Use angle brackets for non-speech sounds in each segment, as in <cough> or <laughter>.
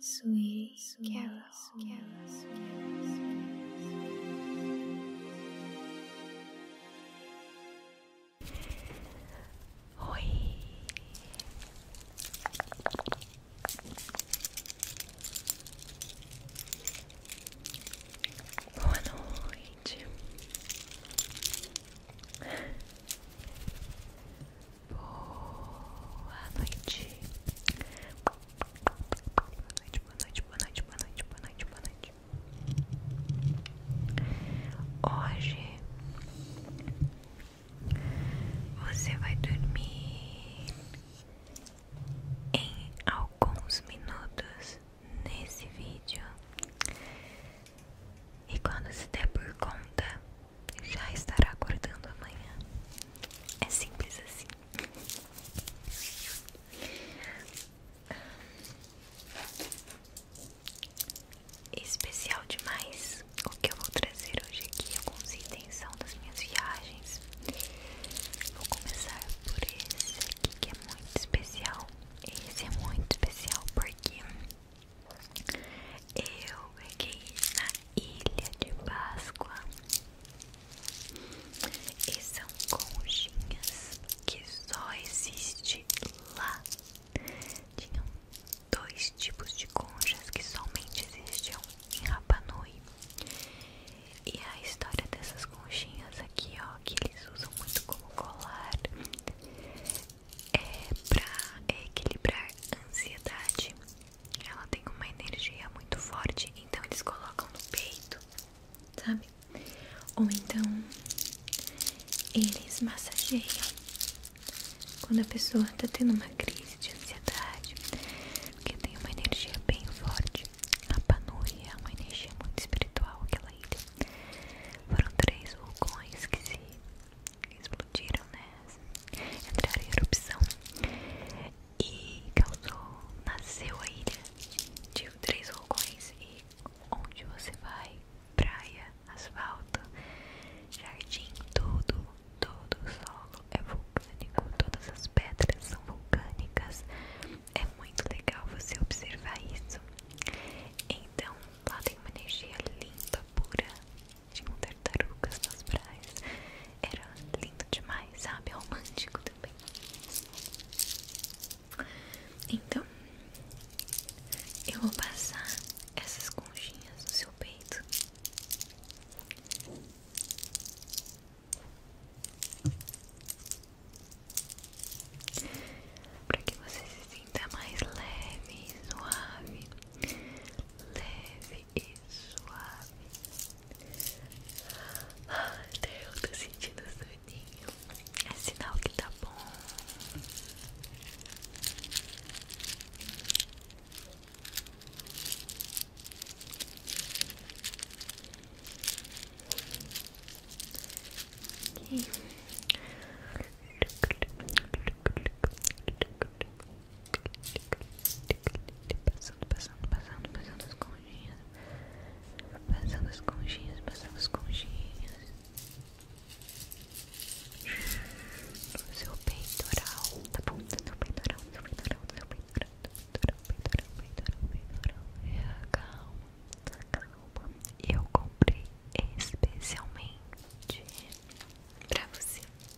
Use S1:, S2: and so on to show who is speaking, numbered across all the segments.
S1: Sweet Carol. Oi. Boa noite. Boa noite. Boa noite, boa noite, boa noite, boa noite, boa noite, Hoje você vai dormir em alguns minutos nesse vídeo. E quando se der por conta, já estará acordando amanhã. É simples assim. Especial demais o que eu vou trazer hoje aqui, alguns itens são das minhas viagens. Vou começar por esse aqui que é muito especial. Esse é muito especial porque eu peguei na Ilha de Páscoa e são conchinhas que só existem lá. Tinham dois tipos de conchas que somente existiam em Rapanui. E a história dessas conchinhas aqui, ó, que eles usam muito como colar, é pra equilibrar ansiedade ela tem uma energia muito forte, então eles colocam no peito, sabe? Ou então eles massageiam quando a pessoa tá tendo uma crise de ansiedade, porque tem uma energia bem forte. A Panui é uma energia muito espiritual, aquela ilha. Foram três vulcões que se explodiram, né? Entraram em erupção e causou, nasceu a ilha de três vulcões e onde você vai, praia, asfalto, jardim, tudo, todo o solo é vulcânico, todas as pedras são vulcânicas, é muito legal você observar isso. Então, lá tem uma energia limpa, pura, de tinham tartarugas nas praias. Era lindo demais, sabe? Romântico também. Então, eu vou passar essas conchinhas no seu peito. Para que você se sinta mais leve, suave, leve e suave. Até eu tô sentindo soninho. É sinal que tá bom. Passando, passando, passando, passando as conchinhas. Passando as conchinhas, passando as conchinhas. No seu peitoral, tá bom? No seu peitoral, no seu peitoral, no seu peitoral, peitoral, peitoral, peitoral, peitoral. calma, calma. Eu comprei especialmente pra você.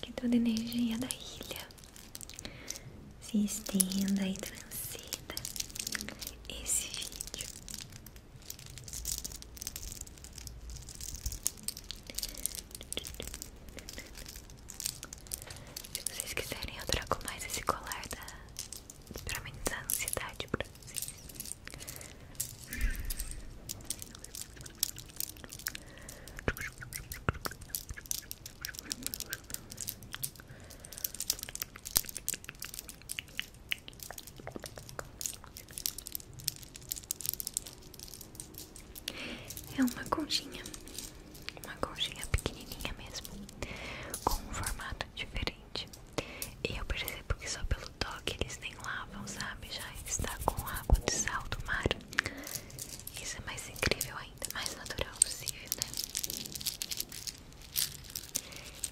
S1: Que toda a energia da ilha se estenda e transita esse vídeo. Se vocês quiserem, eu trago mais esse colar da... pra amenizar a ansiedade pra vocês. É uma conchinha, uma conchinha pequenininha mesmo, com um formato diferente. E eu percebo que só pelo toque eles têm nem lavam, sabe? Já está com água de sal do mar. Isso é mais incrível ainda, mais natural possível, né?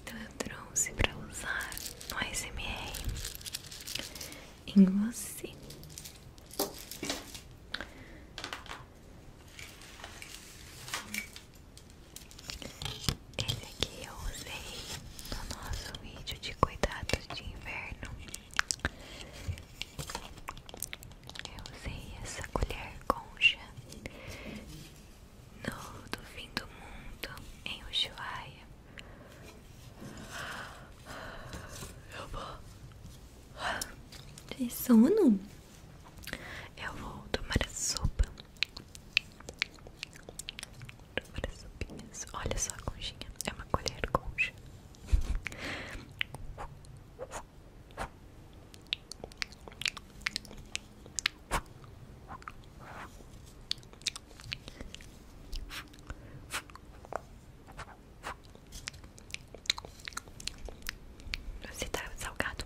S1: Então eu trouxe para usar no ASMR em você. Esse aqui eu usei no nosso vídeo de cuidados de inverno eu usei essa colher concha no do fim do mundo em Ushuaia. Eu vou. Tem sono? Eu vou tomar a sopa. Tomar as sopinhas. Olha só a conchinha. É uma colher concha. Você está salgado.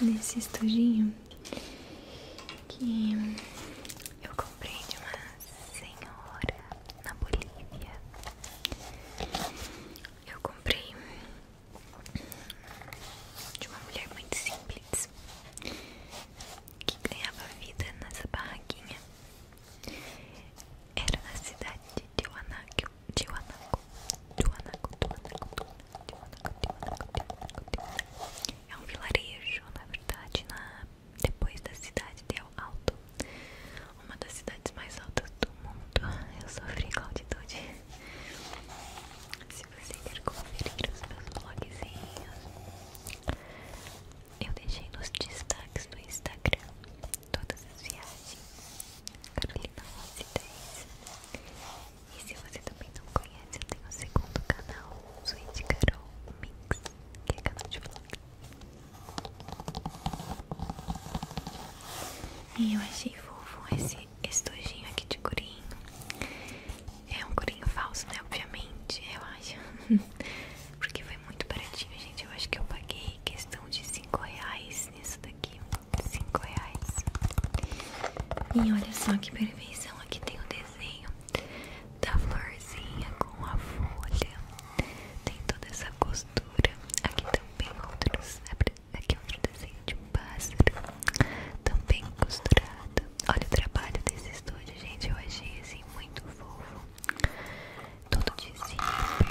S1: nesse estojinho que eu comprei de uma senhora na Bolívia. Eu comprei de uma mulher muito simples que ganhava vida nessa barraquinha. Era na cidade de Tiwanaku, Tiwanaku, Tiwanaku, Tiwanaku, Tiwanaku, Tiwanaku, Tiwanaku, é um vilarejo, na verdade, na, depois da cidade de El Alto, uma das cidades mais altas do mundo. Eu sofri com altitude. Se você quer conferir os meus blogzinhos, eu deixei nos destaques do Instagram todas as viagens. Carolina Rose e se você também não conhece, eu tenho o um segundo canal, Sweet Carol Mix, que é canal de vlog. E eu achei fofo esse estojinho aqui de corinho. É um corinho falso, né? Obviamente, eu acho. <laughs> Porque foi muito baratinho, gente. Eu acho que eu paguei questão de 5 reais nisso daqui. 5 reais. E olha só que perfeição. Aqui tem o um desenho da florzinha com a folha. Tem toda essa costura. Aqui também outros, aqui outro desenho de pássaro. Também costurado. Olha o trabalho desse estúdio, gente. Eu achei assim muito fofo. Todo de zíper.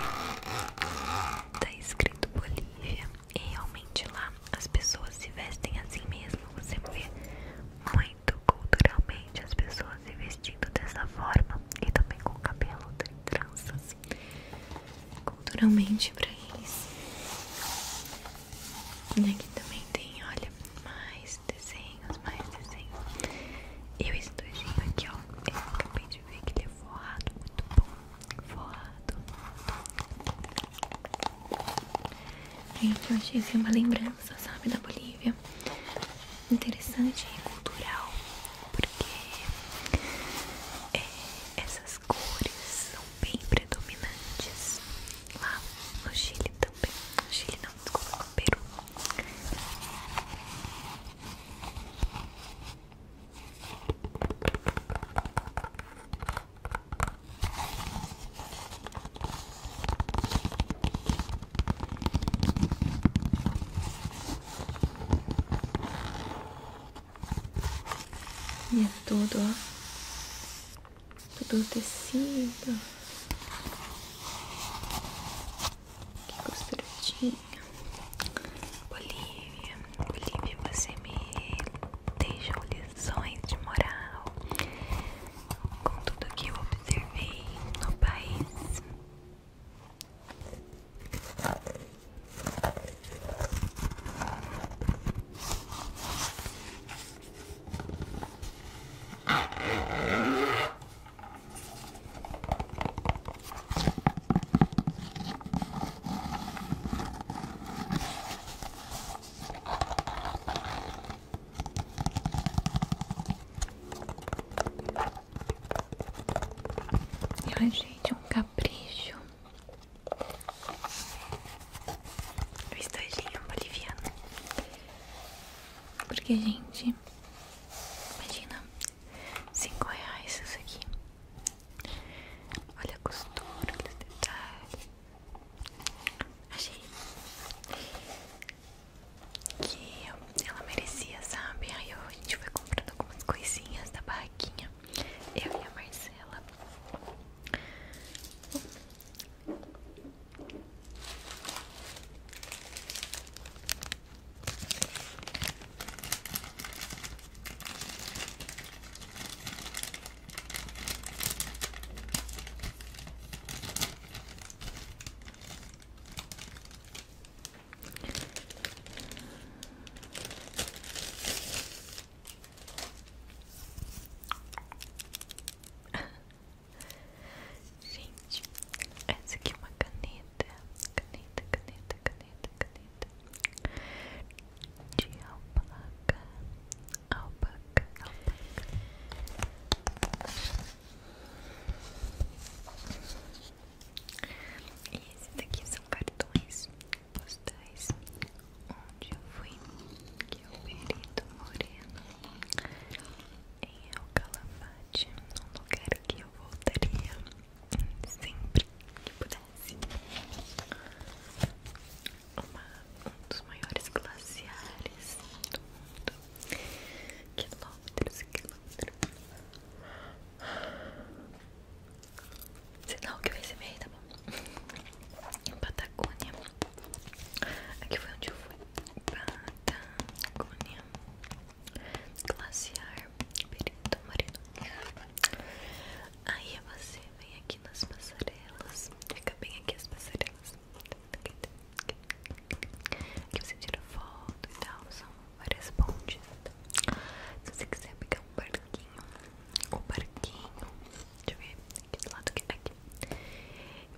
S1: Tá escrito Bolívia. E realmente lá as pessoas se vestem assim mesmo. Você vê muito culturalmente as pessoas se vestindo dessa forma e também com cabelo tranças. Culturalmente pra eles. Né, e aqui também tem, olha, mais desenhos, mais desenhos. E o estojinho aqui, ó. Eu acabei de ver que ele é forrado, muito bom. Forrado. Gente, eu achei assim uma lembrança, sabe, da Bolívia. Interessante e cultural, porque é, essas cores são bem predominantes lá no Chile também. No Chile não, desculpa, no Peru. E é tudo, ó. Tudo tecido. Que costuradinha. Bolívia, Bolívia, você me deixa olhar ações de moral com tudo que eu observei no país. E ai, gente, um capricho. O estojinho boliviano. Porque, gente, imagina, cinco reais isso aqui. Olha a costura, olha os detalhes. Achei que ela merecia, sabe? Aí a gente foi comprando algumas coisinhas da barraquinha. Eu e a Marcela. <laughs> Gente, essa aqui é uma caneta, caneta, caneta, caneta, caneta de alpaca, alpaca, alpaca. E esses daqui são cartões postais onde eu fui, que é o Perito Moreno, em El Calafate, lugar que eu voltaria sempre que pudesse um dos maiores glaciares do mundo quilômetros e quilômetros sinal que vai ser meio, tá bom? em Patagônia aqui foi onde eu fui Patagônia glaciar perito marino aí você vem aqui nas passarelas fica bem aqui as passarelas que você tira foto e tal, são várias pontes. Então, se você quiser pegar um barquinho, o barquinho, deixa eu ver, aqui do lado aqui, aqui.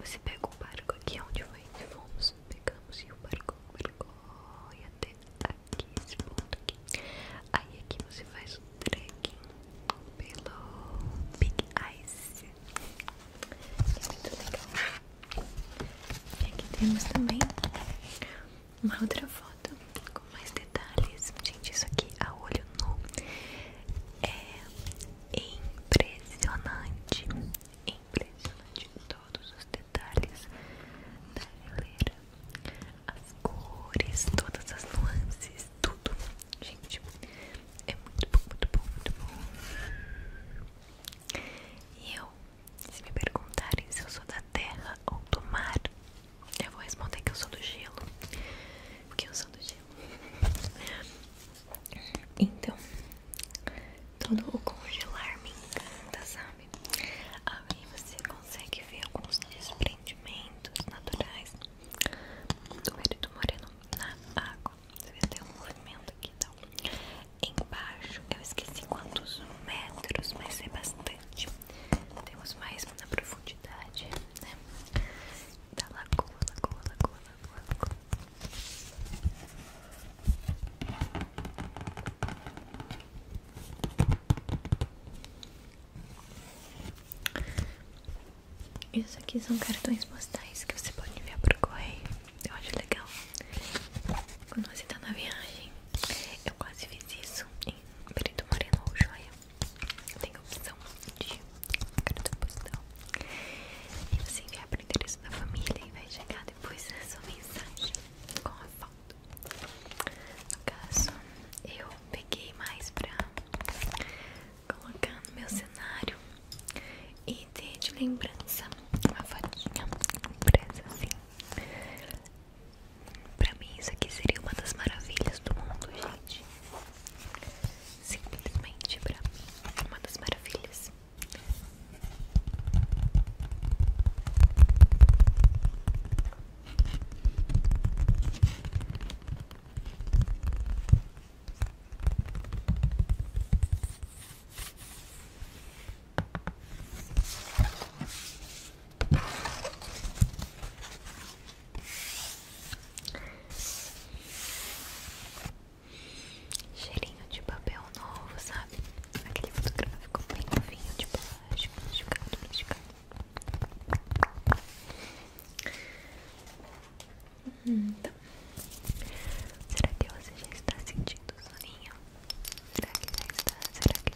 S1: Você pega o barco aqui onde foi que fomos, pegamos e o barco, o barco e até aqui, esse ponto aqui. Aí aqui você faz o trekking pelo Big Ice é muito legal. E aqui temos também uma outra foto com mais detalhes. Gente, isso aqui a olho nu é impressionante. Impressionante todos os detalhes da geleira. As cores, todas as nuances, tudo. Gente, é muito bom, muito bom, muito bom. E eu, se me perguntarem se eu sou da terra ou do mar, eu vou responder que eu sou do gelo. Porque eu sou do gelo. Então, todo o congelar me encanta, sabe? Aí você consegue ver alguns desprendimentos naturais do Perito Moreno na água. Você vê tem um movimento aqui, então. Embaixo, eu esqueci quantos metros, mas é bastante. Temos mais na profundidade, né? Da lagoa, lagoa, lagoa, lagoa, lagoa. Isso aqui são cartões postais que você pode enviar por correio. Eu acho legal. Quando você está na viagem, eu quase fiz isso em Perito Moreno ou Joia. Tem a opção de cartão postal. E você envia para o endereço da família e vai chegar depois a mensagem com a foto. No caso, eu peguei mais pra colocar no meu cenário e ter de lembrança uma fotinha presa assim. Pra mim, isso aqui seria uma das maravilhas do mundo, gente. Simplesmente pra mim, uma das maravilhas. Cheirinho de papel novo, sabe? Aquele fotográfico bem novinho de tipo, plástico, plástico, plástico será que você já está sentindo o Será Será que já está? Será que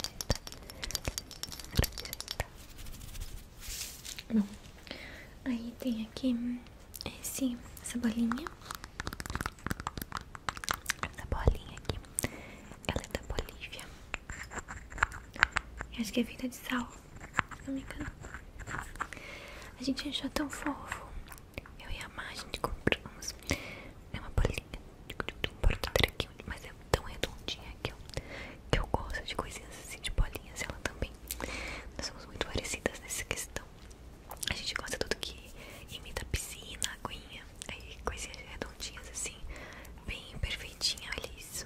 S1: já está? não. aí tem aqui esse, essa bolinha. Essa bolinha aqui. Ela é da Bolívia. Eu acho que é vida de sal no meu canal. A gente achou tão fofo. Eu e a Má, a gente compramos. É uma bolinha de um porto-traquinho, mas é tão redondinha que eu, que eu gosto de coisinhas assim, de bolinhas. Ela também. Nós somos muito parecidas nessa questão. A gente gosta de tudo que imita piscina, aguinha, aí coisinhas redondinhas assim, bem perfeitinha, olha isso.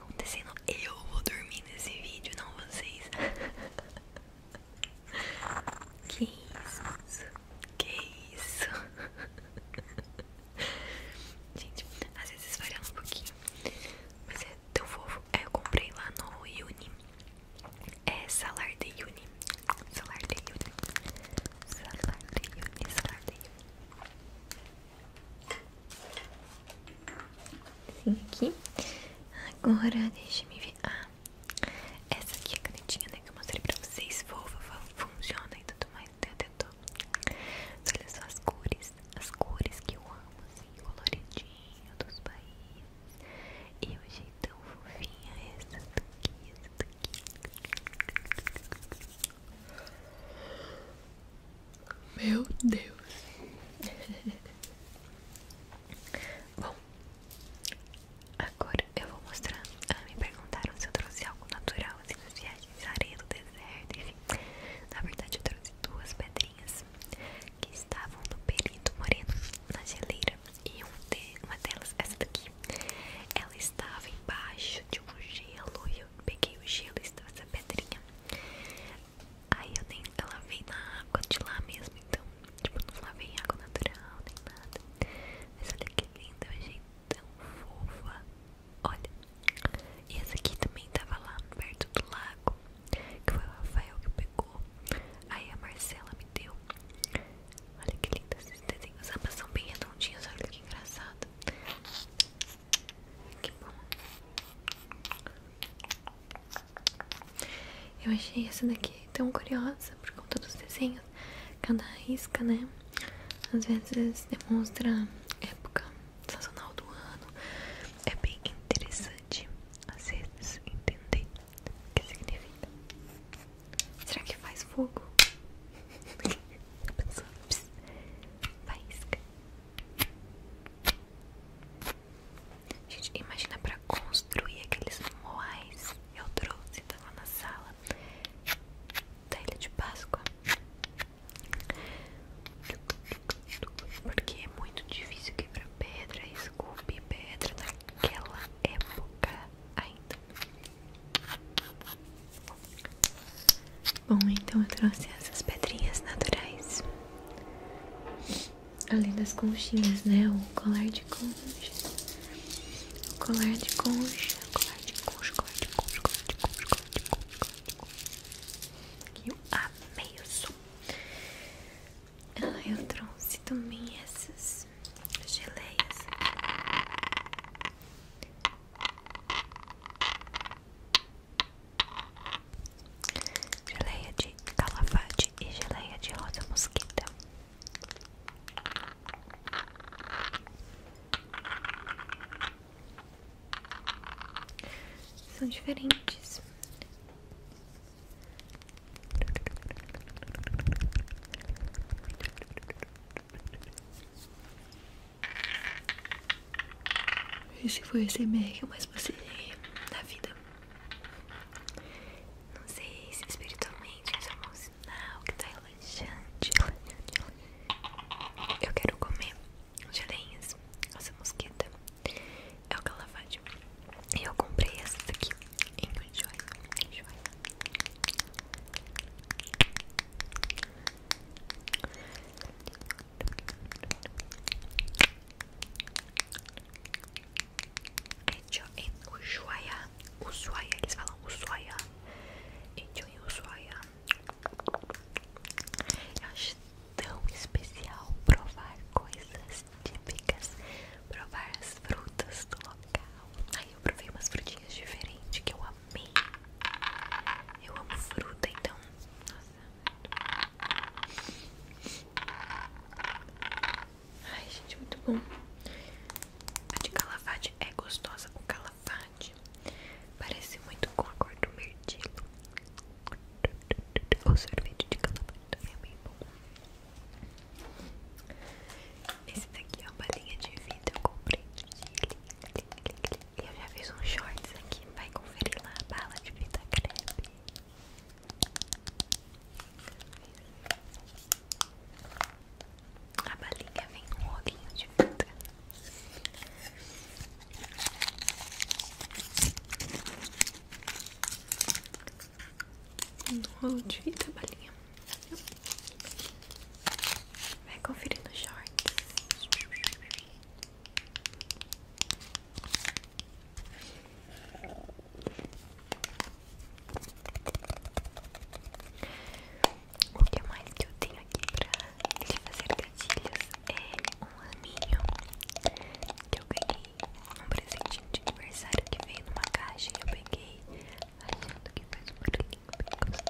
S1: acontecendo, eu vou dormir nesse vídeo, não vocês. <laughs> que isso? Que isso? <laughs> Gente, às vezes falhando um pouquinho. Mas é tão fofo. É, eu comprei lá no Uni. É salário de Uni. salário de Uni. salário de Uni. Salar aqui. Agora, deixe me ver. Ah, essa aqui é a canetinha, né? Que eu mostrei pra vocês. Fofa, funciona e tudo mais. Tem até Mas olha só as cores. As cores que eu amo, assim, coloridinho dos países. E hoje achei tão fofinha é essa daqui, essa daqui. Meu Deus. <laughs> Bom, agora eu vou mostrar. Ah, me perguntaram se eu trouxe algo natural, assim, das viagens, areia do deserto, enfim. Na verdade, eu trouxe duas pedrinhas que estavam no perito moreno, na geleira. E uma delas, essa daqui, ela estava embaixo de um gelo. E eu peguei o gelo e essa pedrinha. Aí eu nem eu lavei na água de lá mesmo, então, tipo, não lavei água natural nem nada. Mas olha que linda, eu tão fofa. Olha, e essa aqui também tava lá perto do lago, que foi o Rafael que pegou. Aí a Marcela me deu. Olha que linda esses desenhos. Ambas são bem redondinhas, olha que engraçado. Que bom. Eu achei essa daqui tão curiosa por conta dos desenhos. Cada risca, né? Às vezes demonstra época sazonal do ano. É bem interessante às vezes entender o que significa. Será que faz fogo? Faísca. <laughs> Gente, imagina pra construir aqueles moais eu trouxe, tava na sala da tá, Ilha é de Páscoa. Porque é muito difícil quebrar pedra, esculpir pedra naquela época ainda. Bom, então eu trouxe essas pedrinhas naturais. Além das conchinhas, né? O colar de conchas O colar de concha. Colar de concha, colar de concha, colar de concha, colar de concha, colar de concha. Que eu amei o som. Ah, eu trouxe também essas geleias. Geleia de calafate e geleia de rosa mosquita. São diferentes. Esse foi esse SMR que eu mais passei na vida. Não sei se espiritualmente isso é um sinal que tá relaxante, Eu quero comer geleinhas, essa mosquita é o calafate. E eu comprei essas aqui em joia, joia. É Etioen Ushuaia Ushuaia, eles falam Ushuaia Etioen Ushuaia Eu acho tão especial provar coisas típicas Provar as frutas do local Aí eu provei umas frutinhas diferentes que eu amei Eu amo fruta, então Nossa Ai, gente, muito bom. A de calafate é gostosa. O calafate parece muito com a cor do mirtilo. O sorvete de calafate também é bem bom. Esse daqui é uma linha de vida. Eu comprei eu já fiz um shorts aqui, vai conferir lá, bala de vida crepe a balinha vem um rolinho de fruta. Um rolo de fita, balinha. Vai conferir no shorts. O que mais que eu tenho aqui pra te fazer gatilhos é um raminho que eu peguei um presentinho de aniversário que veio numa caixa e eu peguei achando que faz um barulhinho bem gostoso.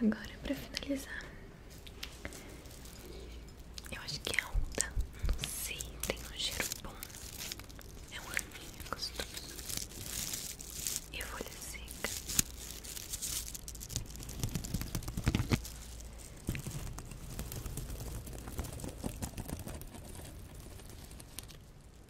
S1: Agora para finalizar, eu acho que é alta, não sei, tem um cheiro bom, é um arminho gostoso e folha seca.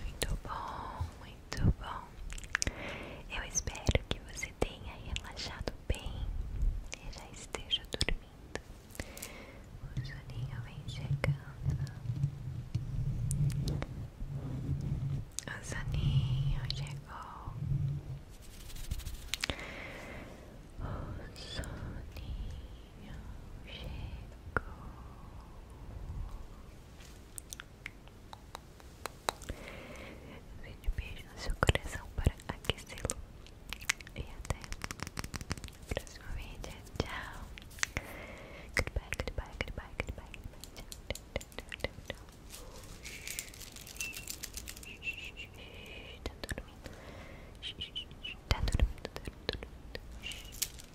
S1: Muito bom, muito bom. Eu espero que você tenha relaxado bem e já esteja dormindo. O soninho vem chegando. O soninho chegou. O soninho Vende beijo no seu coração para aquecê-lo. E até a próxima vídeo. Tchau. Goodbye, goodbye, goodbye, goodbye, goodbye. Tchau, tchau, Tá dormindo. Tá